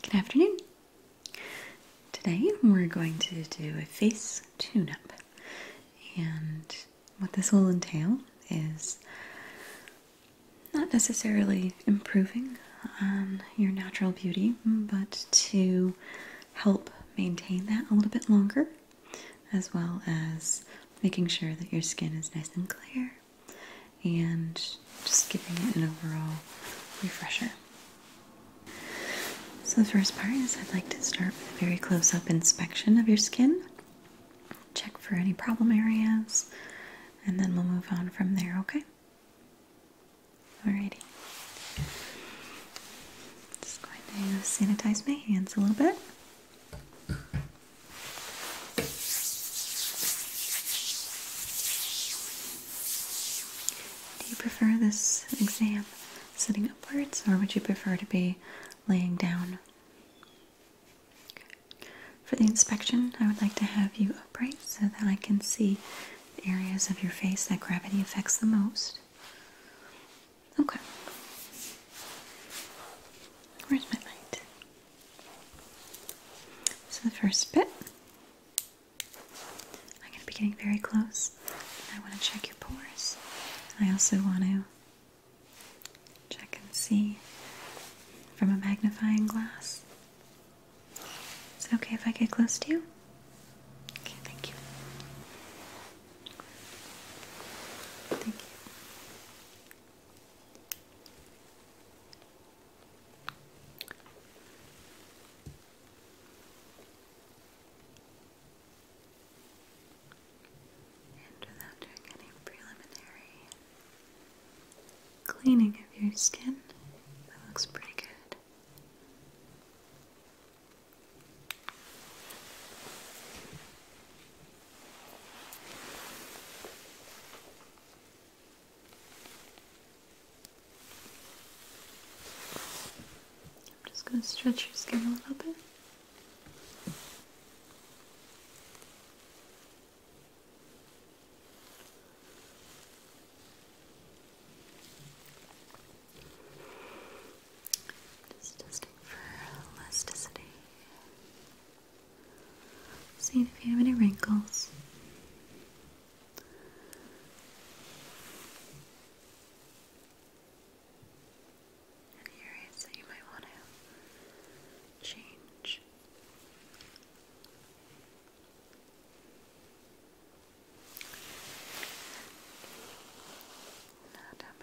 Good afternoon. Today we're going to do a face tune up. And what this will entail is not necessarily improving on your natural beauty, but to help maintain that a little bit longer, as well as making sure that your skin is nice and clear and just giving it an overall refresher. So, the first part is I'd like to start with a very close up inspection of your skin, check for any problem areas, and then we'll move on from there, okay? Alrighty. Just going to sanitize my hands a little bit. Do you prefer this exam sitting upwards or would you prefer to be laying down? For the inspection, I would like to have you upright so that I can see the areas of your face that gravity affects the most. Okay. Where's my light? So the first bit, I'm going to be getting very close. I want to check your pores. I also want to check and see from a magnifying glass. Is it okay if I get close to you? Okay, thank you. Thank you without doing any preliminary cleaning of your skin, that looks pretty good. I'm just going to stretch your skin a little bit. Just testing for elasticity. Seeing if you have any wrinkles. Any areas that you might want to change. Now down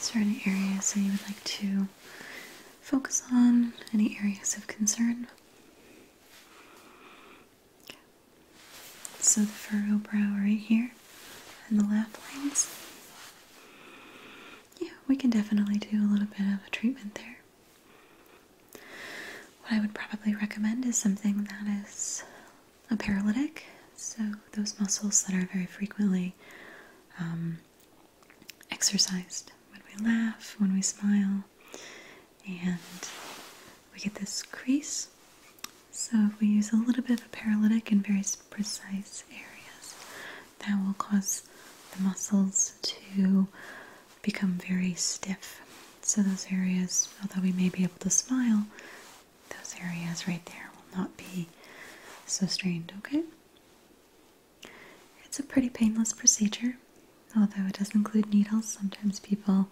is there any areas that you would like to focus on? Any areas of concern? So the furrow brow right here and the laugh lines. Yeah, we can definitely do a little bit of a treatment there. What I would probably recommend is something that is a paralytic. So those muscles that are very frequently um, exercised when we laugh, when we smile, and we get this crease. So if we use a little bit of a paralytic in very precise areas, that will cause the muscles to become very stiff. So those areas, although we may be able to smile, those areas right there will not be so strained, okay? It's a pretty painless procedure, although it does include needles. Sometimes people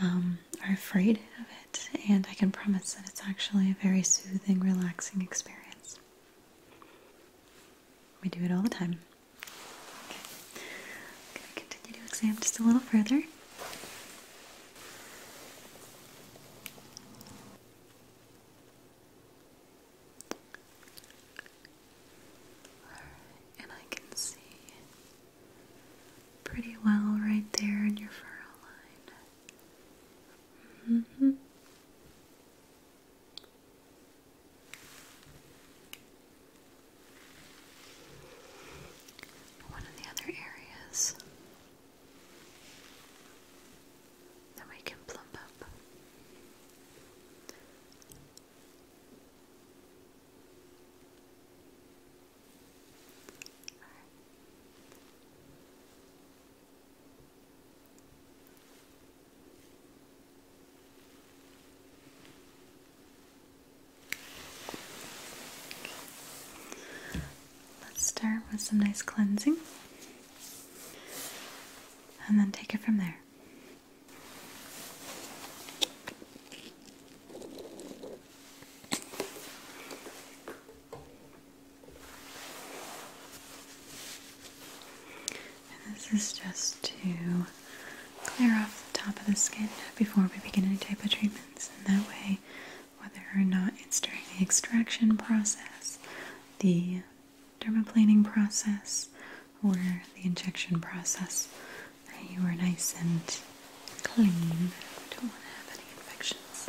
um, are afraid of it, and I can promise that it's actually a very soothing, relaxing experience. We do it all the time. Okay, going to continue to exam just a little further. and I can see pretty well right there in your furrow line. Mm-hmm. One of the other areas that we can plump up. Let's start with some nice cleansing and then take it from there. And this is just to clear off the top of the skin before we begin any type of treatments, and that way, whether or not it's during the extraction process, the dermaplaning process, or the injection process, that you were nice and clean. I don't want to have any infections.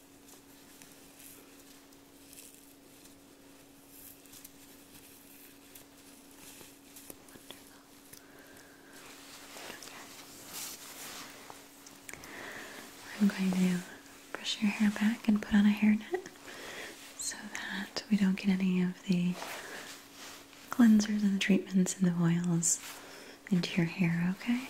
I'm going to brush your hair back and put on a hairnet so that we don't get any of the cleansers and the treatments and the oils into your hair, okay?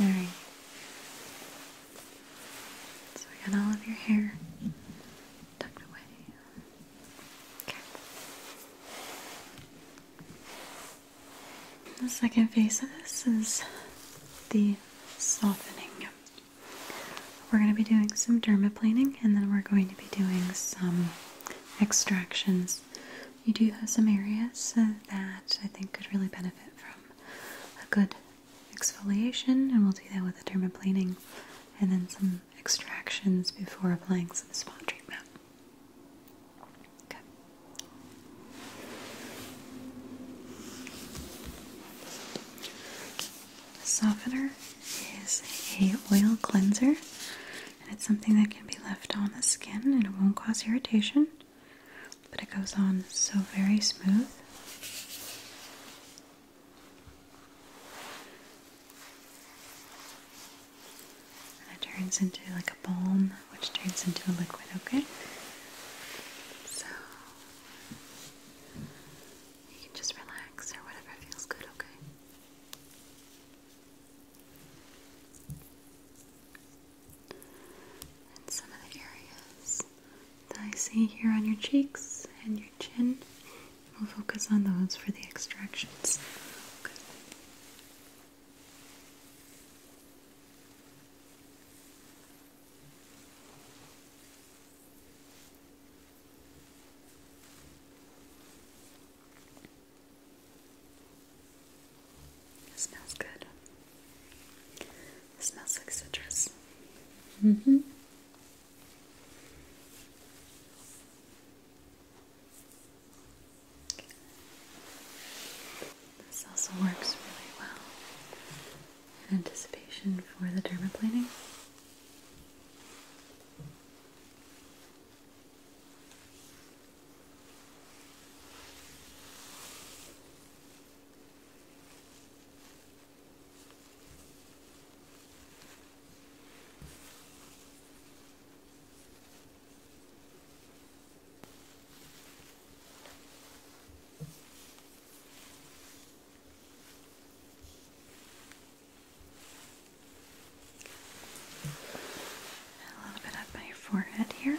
All right. So I got all of your hair tucked away. Okay. The second phase of this is the softening. We're going to be doing some dermaplaning and then we're going to be doing some extractions. You do have some areas uh, that I think could really benefit from a good exfoliation, and we'll do that with a dermaplaning and then some extractions before applying some spot treatment. Okay. The softener is a oil cleanser, and it's something that can be left on the skin and it won't cause irritation but it goes on so very smooth. And it turns into like a balm, which turns into a liquid, okay? So you can just relax or whatever feels good, okay? and some of the areas that I see here on your cheeks and your chin. We'll focus on those for the extractions. It smells good. It smells like citrus. hmm This also works really well in anticipation for the dermaplaning. A little bit of my forehead here.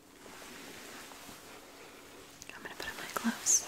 I'm going to put on my gloves.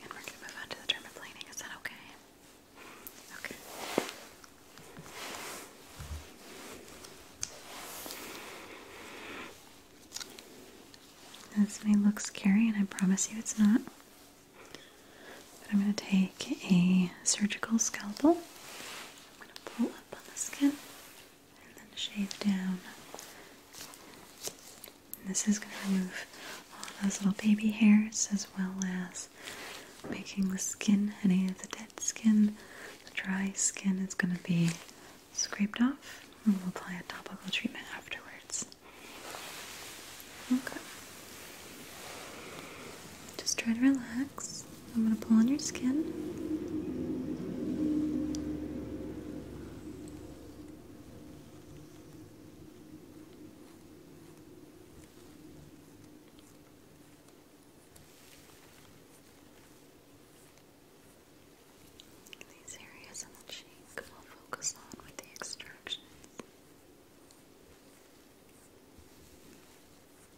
And we're going to move on to the dermaplaning. Is that okay? Okay. This may look scary, and I promise you it's not. But I'm going to take a surgical scalpel. I'm going to pull up on the skin and then shave down. And this is going to remove all those little baby hairs as well as making the skin, any of the dead skin, the dry skin is going to be scraped off and we'll apply a topical treatment afterwards. Okay. Just try to relax. I'm going to pull on your skin. These areas on the cheek we'll focus on with the extractions.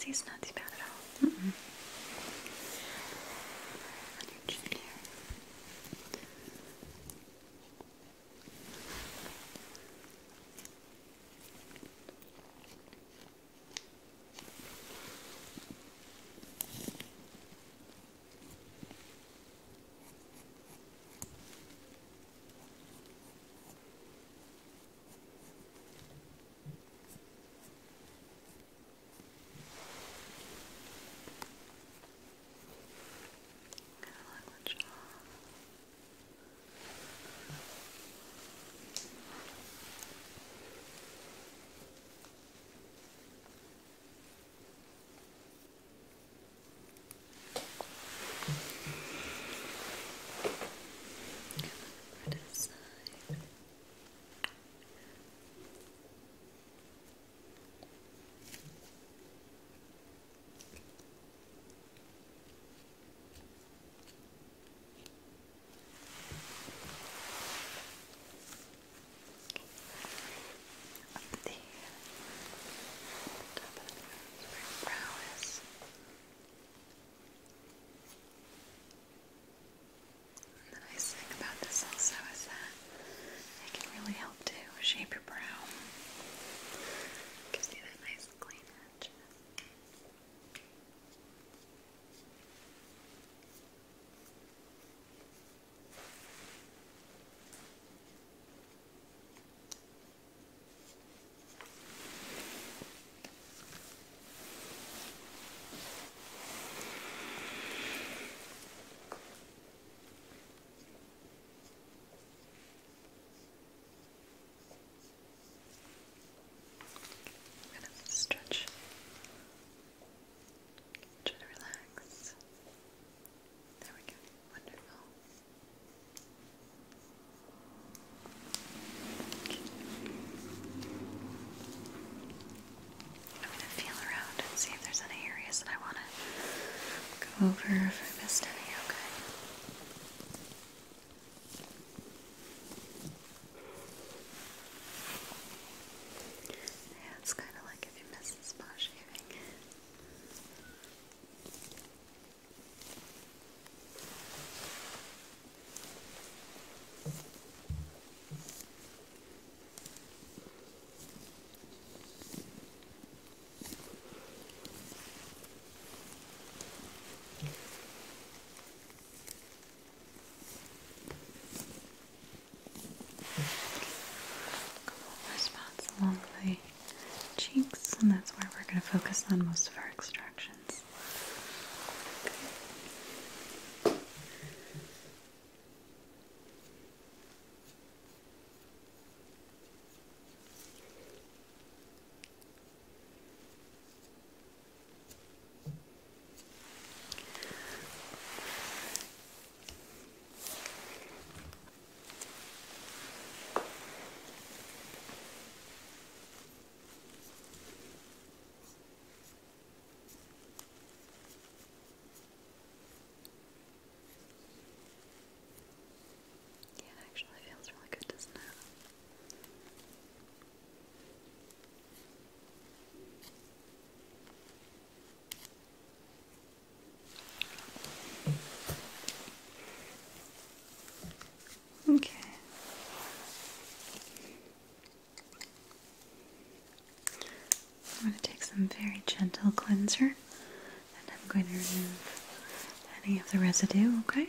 See, it's not too bad at all. Mm-hmm. Go along the jaw. Good over to up there. of the nose brow is. the nice thing about this also is that it can really help to shape your brow. Gives you that nice clean edge. I'm going to stretch, try to relax. There we go. Wonderful. I'm going to feel around and see if there's any areas that I want to go over if I missed any, okay? it's kind of like if you miss the spa shaving. Couple of spots along the cheeks, and that's where we're going to focus on most of our extractions. Yeah, it actually feels really good, doesn't it? Okay. I'm going to take some very gentle cleanser and I'm going to remove any of the residue, okay?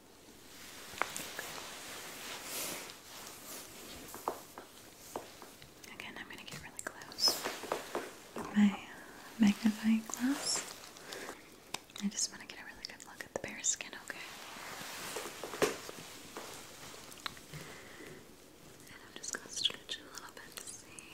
Again, I'm going to get really close my magnifying glass. I just want to get a really good look at the bear's skin, okay? And I'm just going to stretch it a little bit to see.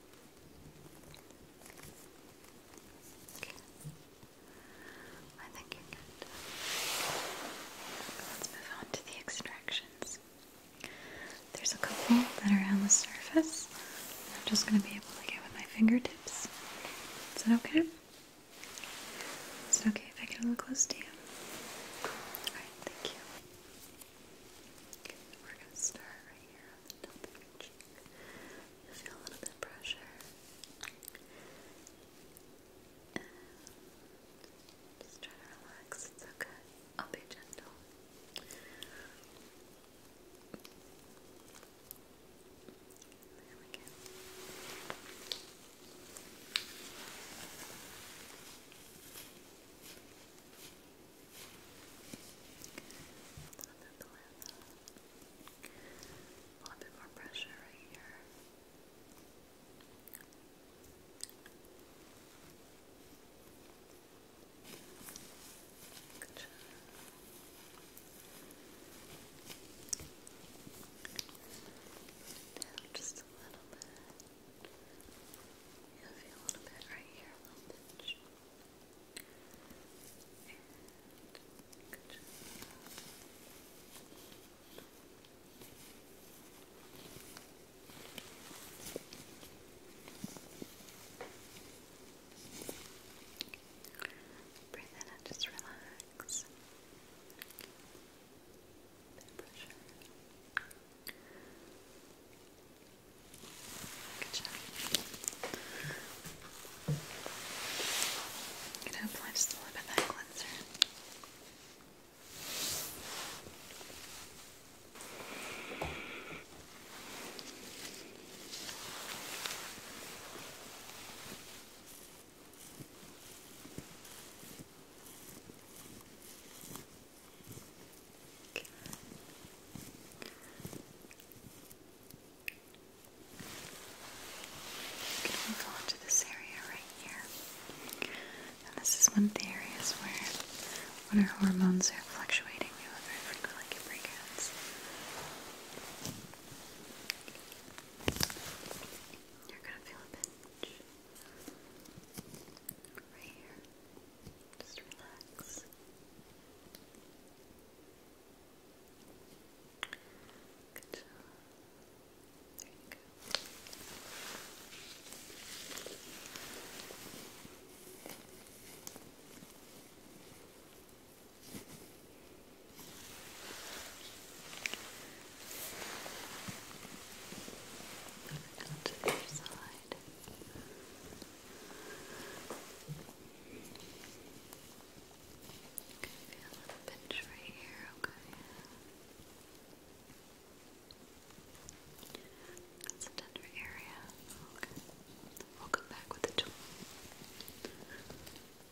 I think you're Let's move on to the extractions. There's a couple that are on the surface. I'm just going to be able to get with my fingertips. Is that okay? Is it okay if I get a little close to you? Alright, thank you. Okay, we're going to start right here on the top of you feel a little bit pressure. just try to relax. It's okay. I'll be gentle. There we go. A little bit more pressure right here. just a little bit. You'll feel a little bit right here, a little pinch. And good job. Breathe in and just relax. Bit of pressure. Good job. gonna apply just a little bit that cleanser. Okay. You can to this area right here. And this is one of the areas where when our hormones are fluctuating, you'll have very frequently breakouts. You're gonna feel a pinch. Right here. Just relax. Good job. There you go. Onto the other side. Good. Okay, feel a pinch right here, okay? That's a tender area, okay? We'll come back with the tool.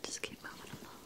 Just keep moving along.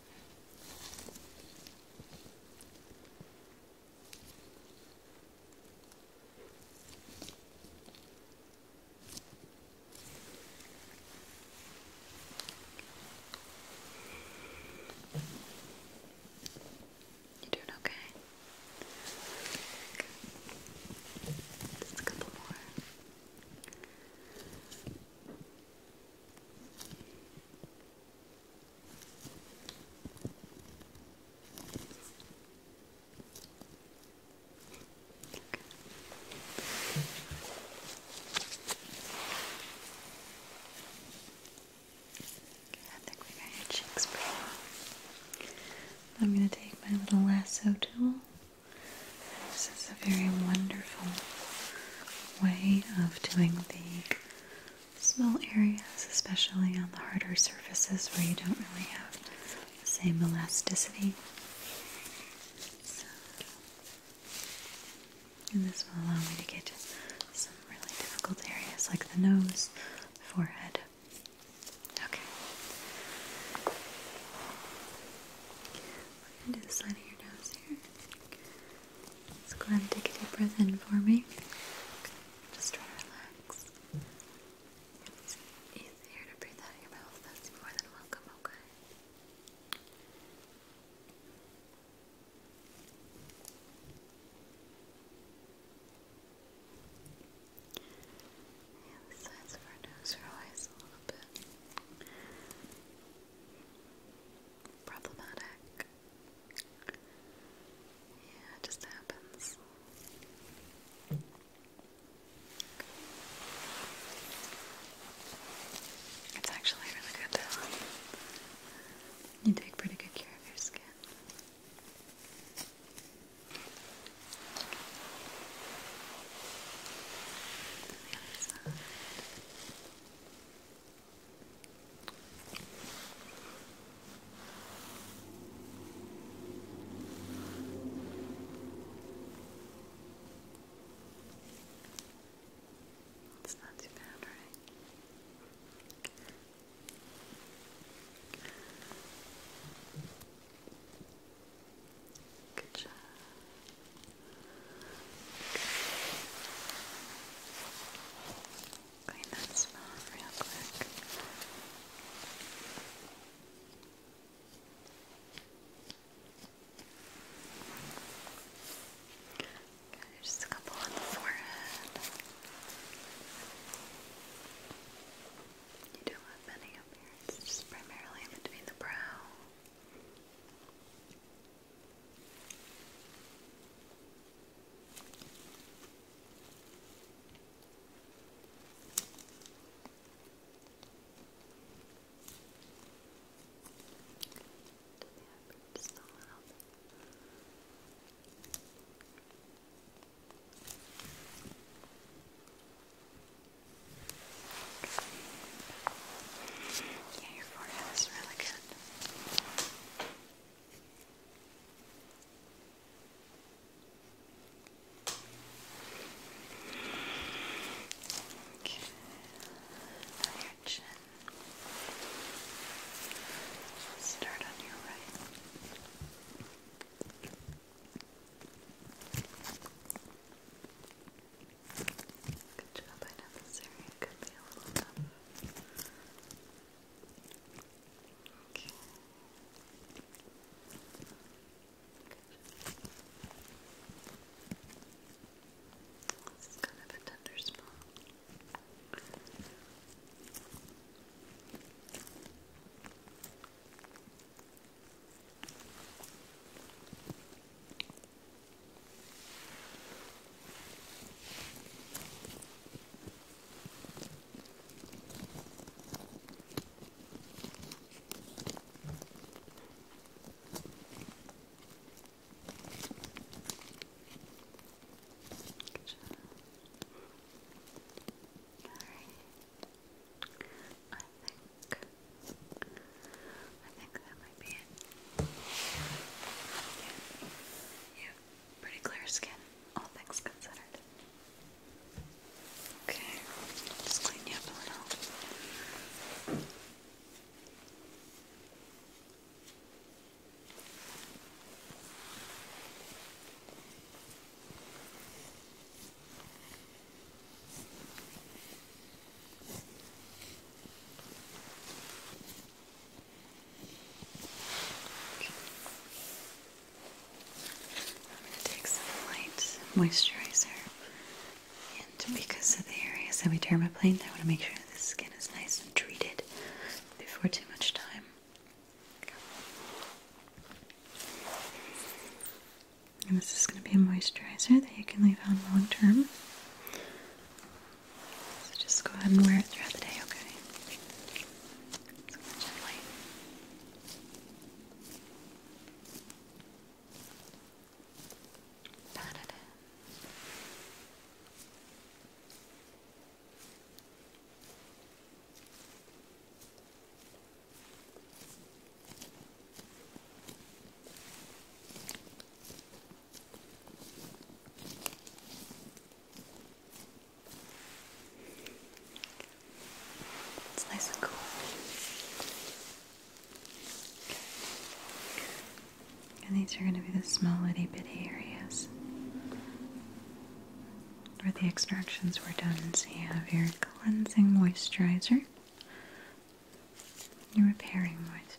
You doing okay? Just a couple more. I think we got your cheeks pretty I'm going to take my little lasso tool. This is a very wonderful way of doing the small areas, especially on the harder surfaces where you don't really have the same elasticity. and this will allow me to get some really difficult areas like the nose, forehead. Okay. We're going to do the side of your nose here. Let's go ahead and take a deep breath in for me. Just try to relax. it's easier to breathe out your mouth, that's more than welcome, okay? Yeah, the sides of our nose are a little bit problematic. Yeah, it just happens. It's actually really good You take pretty good care of your skin. It's not too bad, right? Good job. Clean that smell real quick. just a couple on the forehead. You don't have many up here, it's just primarily between the brow just a Yeah, your forehead is really good. Okay. Now your chin. Start on your right. Good job. I know this area could be a little Okay. Good. This is kind of a tender spot. Okay. I think I think that might be it. Yeah. Yeah. Pretty clear skin, all things considered. Okay, just clean you up a little. I'm going to take some light moisturizer. And because of the areas that we dermaplane, I want to make sure that the skin is nice and treated before too much time. this is going to be a moisturizer that you can leave on long term. So just go ahead and wear it throughout the day, okay? So gently. Da -da -da. Good. It's nice and cool. And these are going to be the small itty bitty areas where the extractions were done. So you have your cleansing moisturizer, your repairing moisturizer,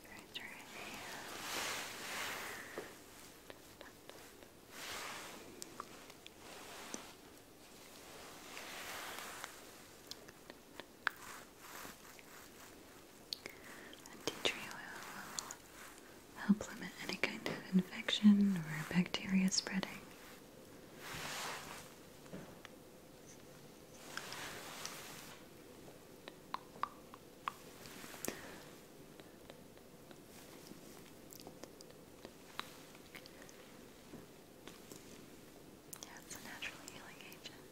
tea tree oil will help limit any kind of infection or bacteria spreading. Yeah, it's a natural healing agent.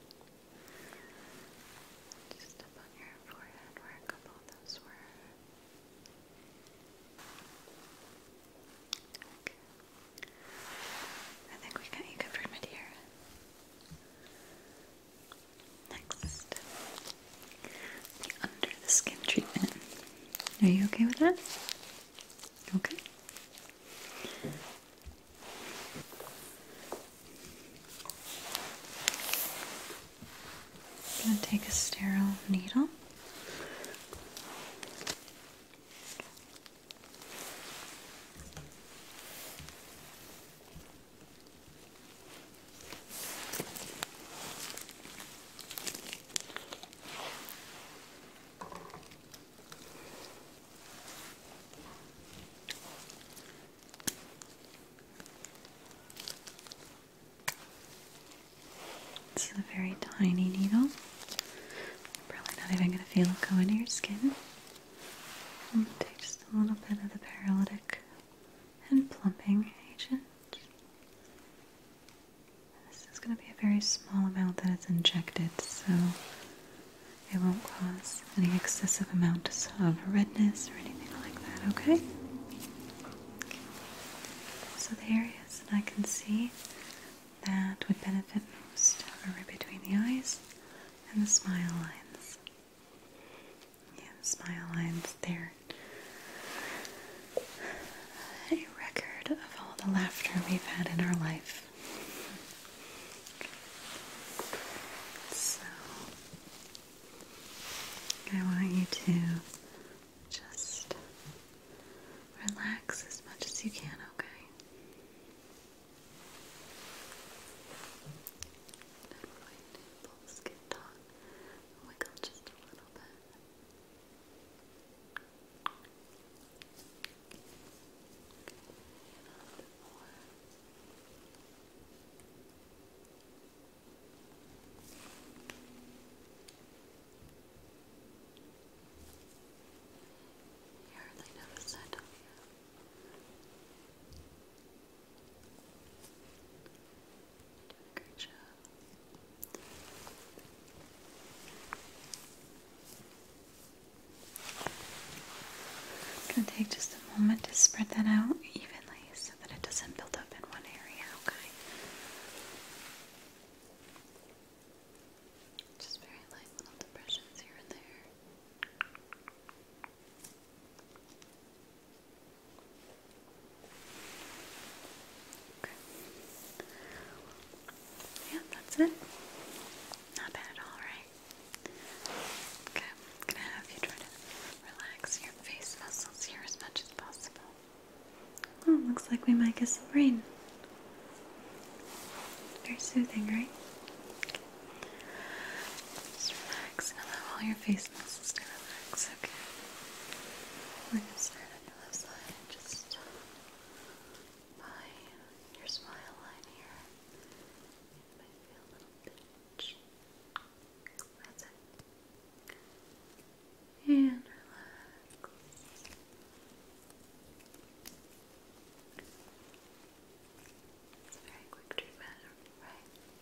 Just up on your forehead where a couple of those were. Okay. I think we got you covered, my Next, the under the skin treatment. Are you okay with that? Okay. I'm going to take a sterile needle. It's a very tiny needle. Probably not even going to feel it go into your skin. I'll take just a little bit of the paralytic and plumping agent. This is going to be a very small amount that is injected, so it won't cause any excessive amounts of redness or anything like that, okay? okay. So the areas that I can see that would benefit most are right between the eyes and the smile lines. Yeah, smile lines there. A record of all the laughter we've had in our life. So, I want you to just relax as much as you can, okay? I'm going to wiggle oh just a little bit. Okay, a little bit more. You hardly notice that, don't you? I'm going to take just a moment to spread that out evenly so that it doesn't build up in one area, okay? Just very light little depressions here and there. Yeah, that's it. Not bad all, right? Okay, I'm gonna have you try to relax your face muscles here as much as possible. Oh, looks like we might get some rain. Very soothing, right? Just relax and allow your face muscles to relax, okay? We're going to start on your left side, just by your smile line here. You might feel a little pinch. That's it. And relax. It's a very quick treatment, right?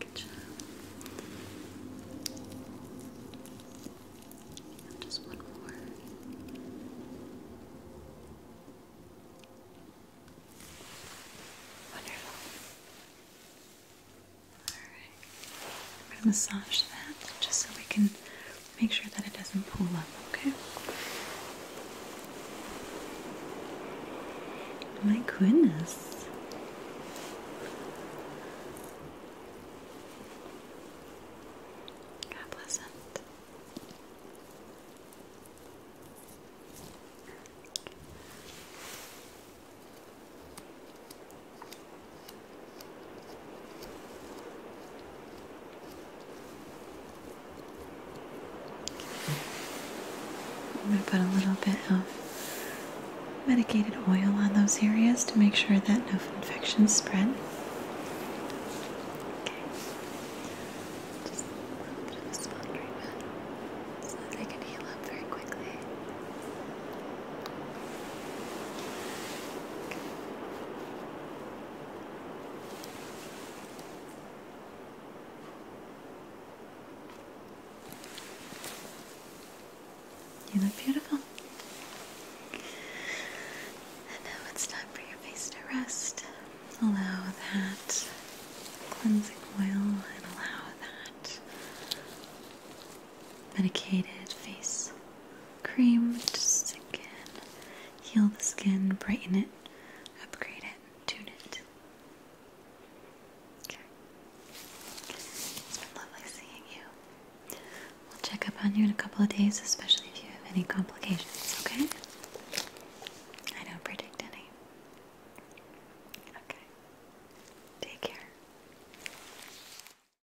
That's it. just one more. Wonderful. All I'm going to massage that just so we can make sure that it doesn't pull up, okay? My goodness. God bless it. I'm going to put a little bit of medicated oil on those areas to make sure that no infections spread. Okay. Just a little bit of spot treatment so they can heal up very quickly. You look beautiful. And now it's time for your face to rest. Allow that cleansing oil and allow that medicated face cream to sink in, heal the skin, brighten it, upgrade it, tune it. Okay. lovely seeing you. We'll check up on you in a couple of days, especially if you have any complications, okay? I don't predict any. Okay. Take care.